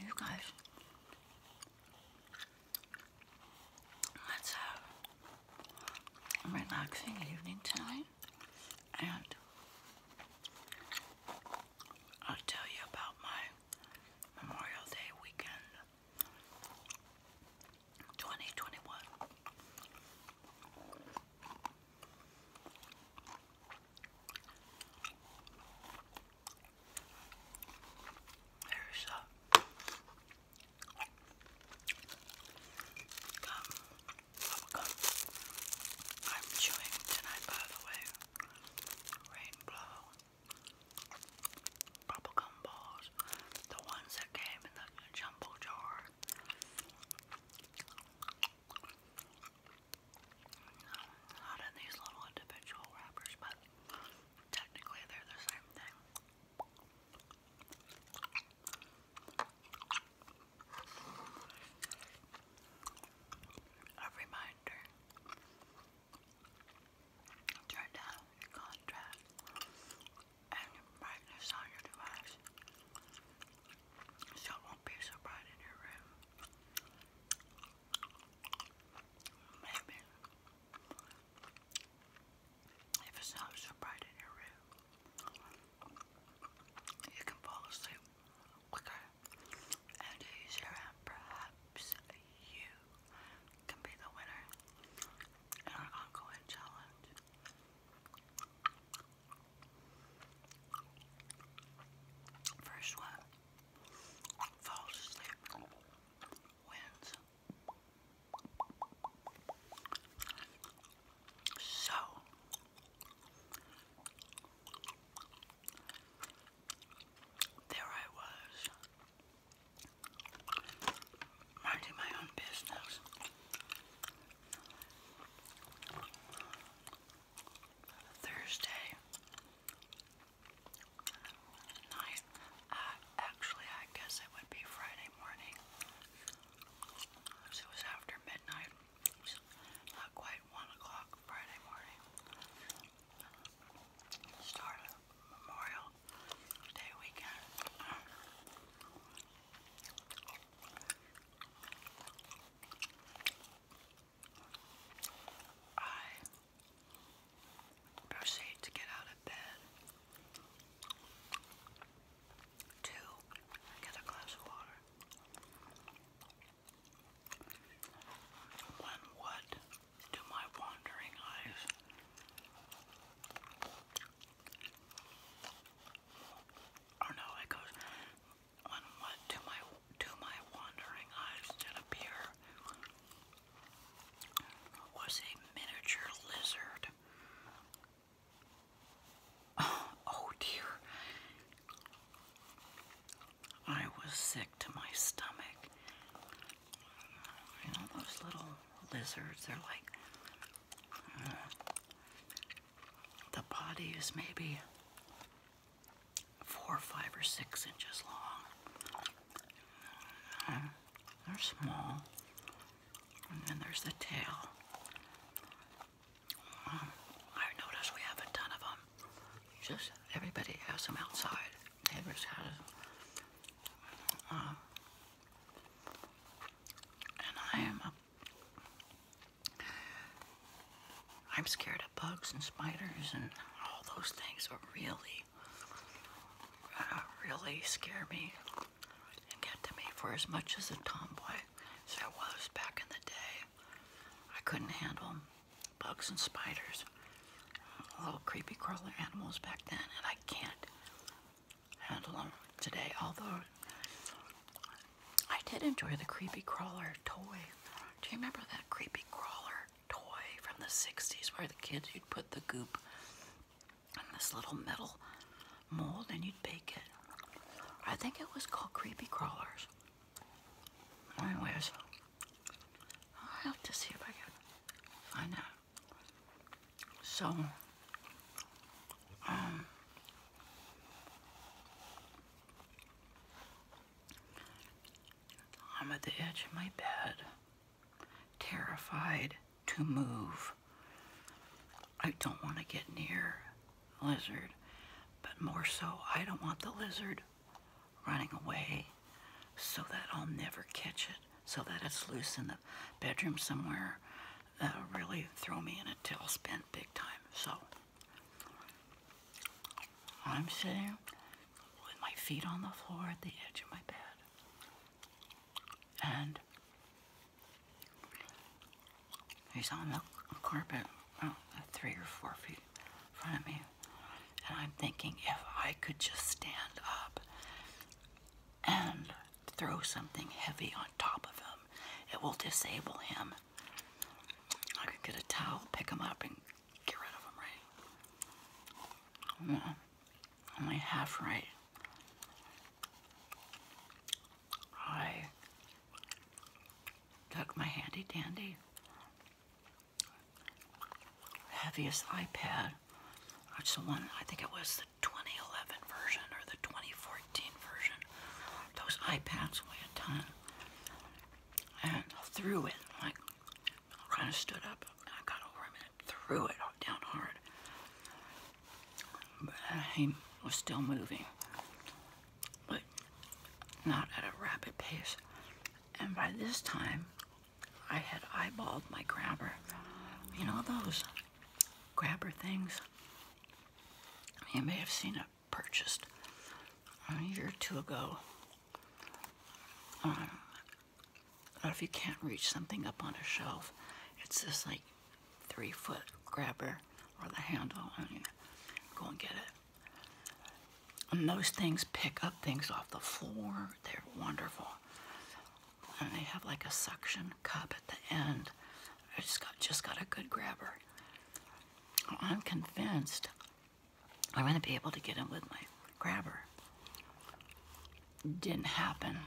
You guys, let's a relaxing evening tonight, and I'll tell you about my Memorial Day weekend 2021. There's a I'm chewing tonight, by the way. Rainbow bubblegum balls, the ones that came in the jumbo jar. Not in these little individual wrappers, but technically they're the same thing. A reminder turn down the contrast and brightness on your device it won't be so bright in your room. Maybe if it's not so bright in your room, you can fall asleep quicker and Asia, perhaps you can be the winner in our ongoing challenge. First one falls asleep wins. So there I was, minding my own business. Thursday night, uh, actually, I guess it would be Friday morning. it was after midnight, not quite 1 o'clock Friday morning start of Memorial Day weekend. I proceed to get out of bed to get a glass of water. When what do my wandering eyes Oh no, it goes when what do my do my wandering eyes did appear was a miniature lizard. Oh, oh dear. I was sick to my stomach. You know, those little lizards, they're like. Uh, the body is maybe four, five, or six inches long. Uh, they're small. And then there's the tail. Um, I noticed we have a ton of them. Just everybody has them outside neighbors had uh, and I am a I'm scared of bugs and spiders and all those things that really, uh, really scare me and get to me. For as much as a tomboy as I was back in the day, I couldn't handle bugs and spiders, little creepy crawler animals back then, and I can't handle them today. Although I did enjoy the creepy crawler toy. Do you remember that creepy crawler toy from the 60s where the kids, would put the goop in this little metal mold and you'd bake it? I think it was called creepy crawlers. Anyways, i have to see if I can find out. So, um, I'm at the edge of my bed, terrified to move. I don't want to get near lizard, but more so, I don't want the lizard running away so that I'll never catch it, so that it's loose in the bedroom somewhere. That'll really throw me in a tailspin big time. So I'm sitting with my feet on the floor at the edge of my bed. And he's on the carpet, oh, three or four feet in front of me. And I'm thinking if I could just stand up and throw something heavy on top of him, it will disable him. I could get a towel, pick him up, and get rid of him, right? only mm-hmm. half right. I took my handy dandy heaviest iPad, which the one I think it was the 2011 version or the 2014 version. Those iPads weigh a ton, and I threw it like kind of stood up and I got over him and threw it down hard. But he was still moving, but not at a rapid pace. And by this time, I had eyeballed my grabber. You know those grabber things? You may have seen it purchased a year or two ago. Um, but if you can't reach something up on a shelf, it's this like three foot grabber or the handle, and you go and get it. And those things pick up things off the floor. They're wonderful. And they have like a suction cup at the end. I has got just got a good grabber. I'm convinced I'm going to be able to get him with my grabber. Didn't happen.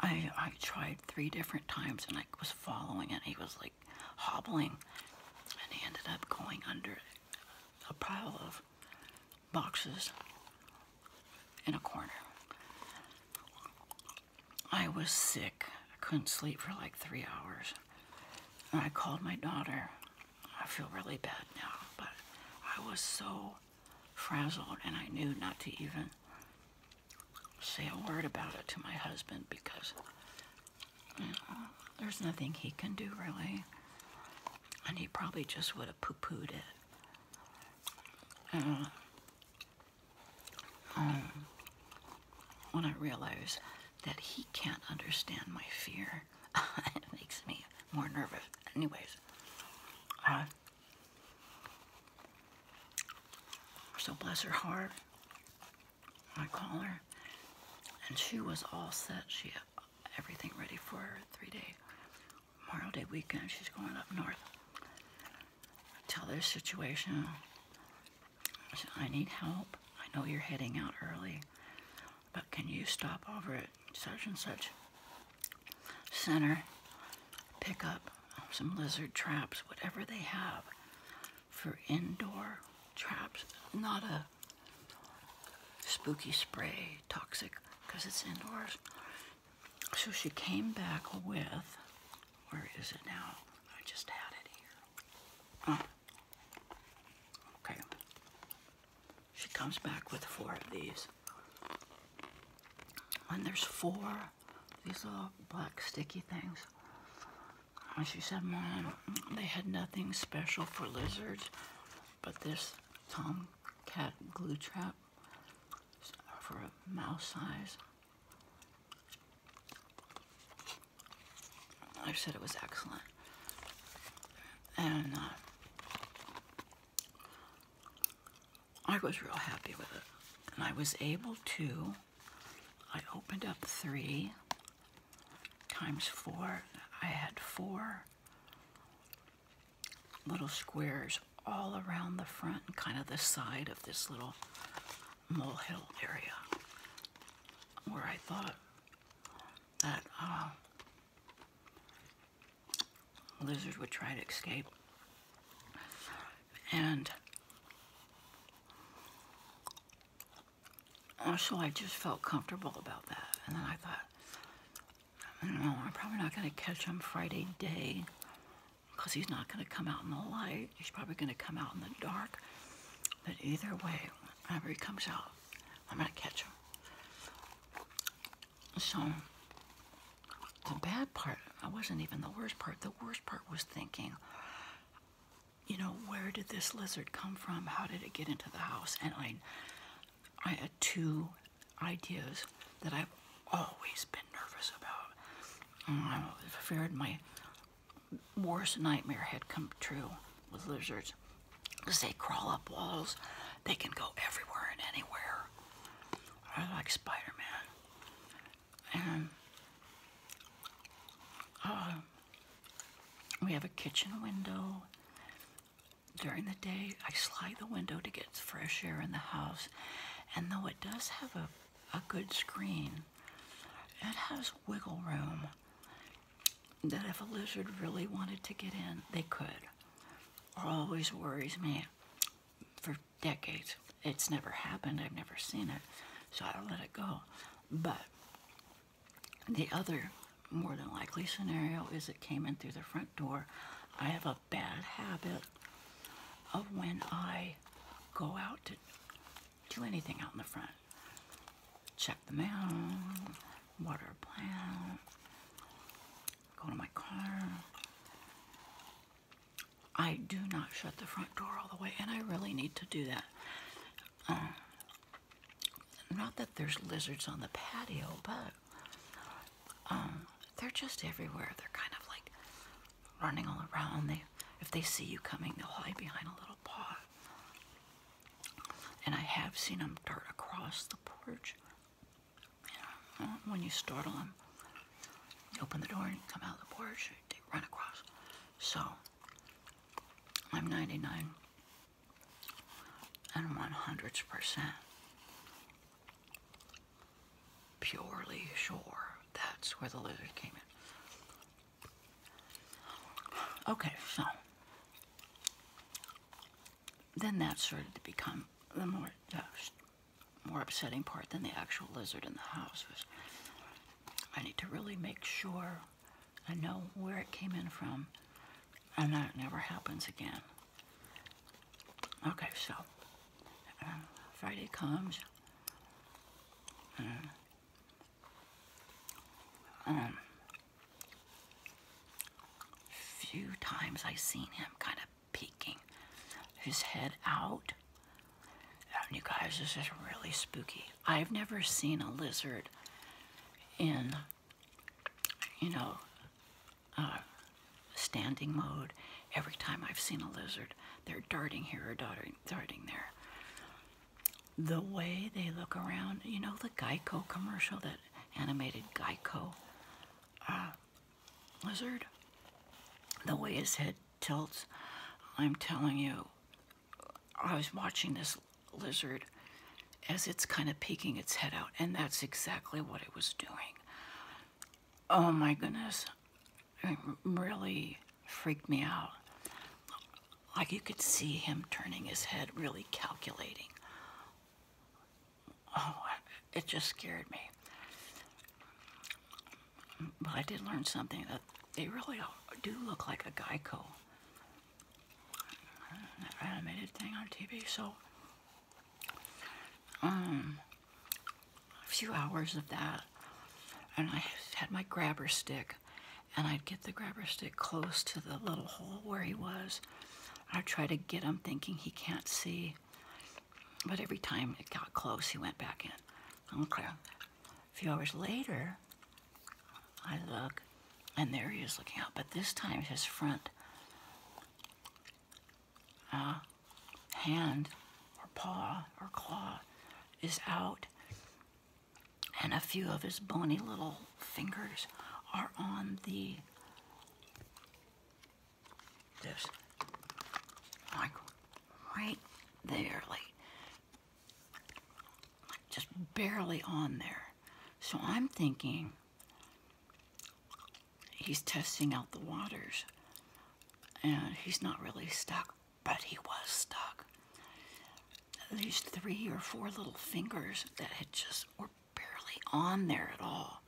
I, I tried three different times and I was following it. He was like hobbling and he ended up going under a pile of boxes in a corner. I was sick. I couldn't sleep for like three hours. And I called my daughter. I feel really bad now, but I was so frazzled and I knew not to even say a word about it to my husband because there's nothing he can do really. And he probably just would have poo pooed it. Uh, um, when I realize that he can't understand my fear, it makes me more nervous. Anyways, so bless her heart, I call her, and she was all set. She everything ready for her three-day Memorial Day weekend. She's going up north. Tell their situation. I need help. I know you're heading out early, but can you stop over at such and such center, pick up some lizard traps, whatever they have for indoor traps, not a spooky spray, toxic, because it's indoors. So she came back with, where is it now? I just had it here. Oh. Okay. She comes back with four of these. And there's four, these little black sticky things. And she said, Mom, they had nothing special for lizards, but this tomcat glue trap for a mouse size. I said it was excellent. And uh, I was real happy with it. And I was able to, I opened up three times four. I had four little squares all around the front and kind of the side of this little molehill area where I thought that uh, lizard would try to escape. And also oh, I just felt comfortable about that. And then I thought, I don't know, I'm probably not going to catch him Friday day because he's not going to come out in the light. He's probably going to come out in the dark. But either way, whenever he comes out, I'm going to catch him. So the bad part, I wasn't even the worst part. The worst part was thinking, you know, where did this lizard come from? How did it get into the house? And I, I had two ideas that I've always been nervous about. Um, I feared my worst nightmare had come true with lizards. Because they crawl up walls, they can go everywhere and anywhere. I like Spider-Man. And uh, we have a kitchen window. During the day, I slide the window to get fresh air in the house. And though it does have a, a good screen, it has wiggle room that if a lizard really wanted to get in, they could. Always worries me. For decades, it's never happened. I've never seen it. So I do let it go. But the other more than likely scenario is it came in through the front door. I have a bad habit of when I go out to do anything out in the front. Check the mail, water a plant, go to my car. I do not shut the front door all the way, and I really need to do that. Um, not that there's lizards on the patio, but um, they're just everywhere. They're kind of like running all around. They, if they see you coming, they'll hide behind a little paw. And I have seen them dart across the porch. Uh, when you startle them, you open the door and come out the porch, they run across. So, I'm 99 and 100% purely sure that's where the lizard came in. Okay, so then that sort of became the more the more upsetting part than the actual lizard in the house was I need to really make sure I know where it came in from, and that never happens again. Okay, so uh, Friday comes, and, uh, um, few times I seen him kind of peeking his head out. And you guys, this is really spooky. I've never seen a lizard in you know, uh, standing mode. Every time I've seen a lizard, they're darting here or darting, darting there. The way they look around, you know, the Geico commercial, that animated Geico uh, lizard, the way his head tilts, I'm telling you, I was watching this lizard as it's kind of peeking its head out, and that's exactly what it was doing. Oh my goodness, it really freaked me out. Like you could see him turning his head, really calculating. Oh, it just scared me. But I did learn something that they really do look like a gecko animated thing on TV. So, um, a few hours of that, and I had my grabber stick, and I'd get the grabber stick close to the little hole where he was. I'd try to get him, thinking he can't see, but every time it got close, he went back in. Okay. A few hours later, I look, and there he is looking out, but this time his front uh, hand or paw or claw is out, and a few of his bony little fingers are on the this like right there, like just barely on there. So I'm thinking he's testing out the waters and he's not really stuck, but he was stuck. At least three or four little fingers that had just were barely on there at all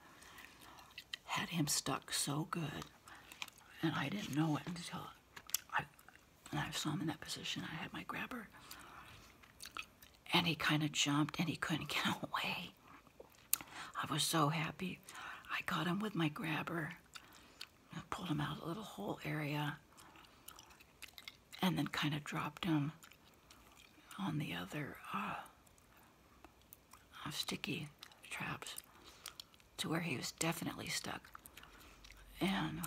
had him stuck so good and I didn't know it until I, and I saw him in that position. I had my grabber, and he kind of jumped, and he couldn't get away. I was so happy. I caught him with my grabber, I pulled him out a little hole area, and then kind of dropped him on the other uh, uh sticky traps to where he was definitely stuck. And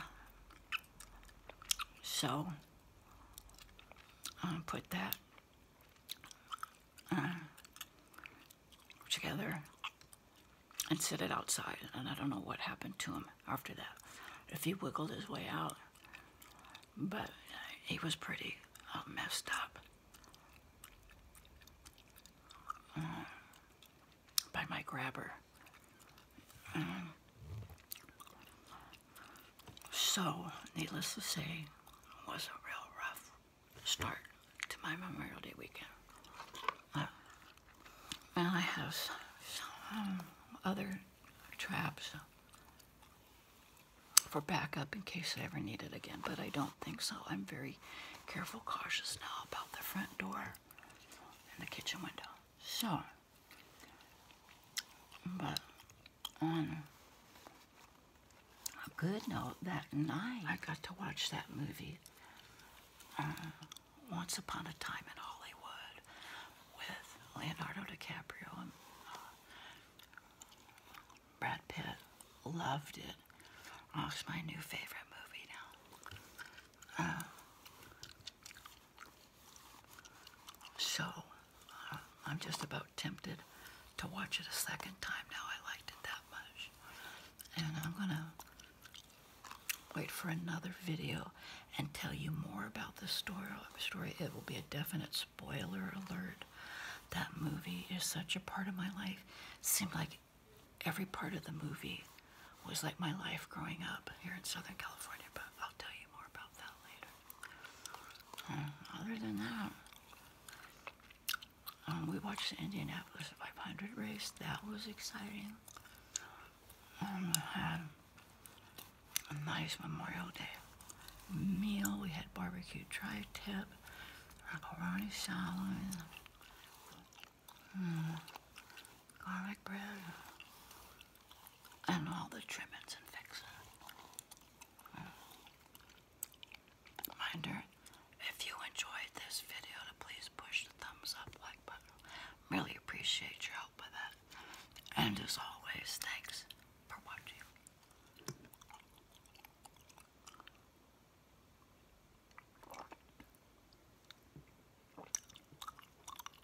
so um, put that uh, together and set it outside. And I don't know what happened to him after that. If he wiggled his way out, but he was pretty uh, messed up uh, by my grabber. Um, so, needless to say, it was a real rough start to my Memorial Day weekend. Uh, and I have some other traps for backup in case I ever need it again, but I don't think so. I'm very careful, cautious now about the front door and the kitchen window. So, but on a good note, that night I got to watch that movie uh, Once Upon a Time in Hollywood with Leonardo DiCaprio and uh, Brad Pitt. Loved it. Oh, it's my new favorite movie now. Uh, so uh, I'm just about tempted to watch it a second time now. I liked it that much. And I'm going to wait for another video and tell you more about the story. story. It will be a definite spoiler alert. That movie is such a part of my life. It seemed like every part of the movie was like my life growing up here in Southern California, but I'll tell you more about that later. Uh, other than that, um, we watched the Indianapolis 500 race. That was exciting. Um, had a nice Memorial Day meal. We had barbecue tri-tip, macaroni salad. Mm garlic bread, and all the trimmings and fixings. Reminder, if you enjoyed this video, to please push the thumbs up like button. Really appreciate your help with that. And as always, thanks for watching.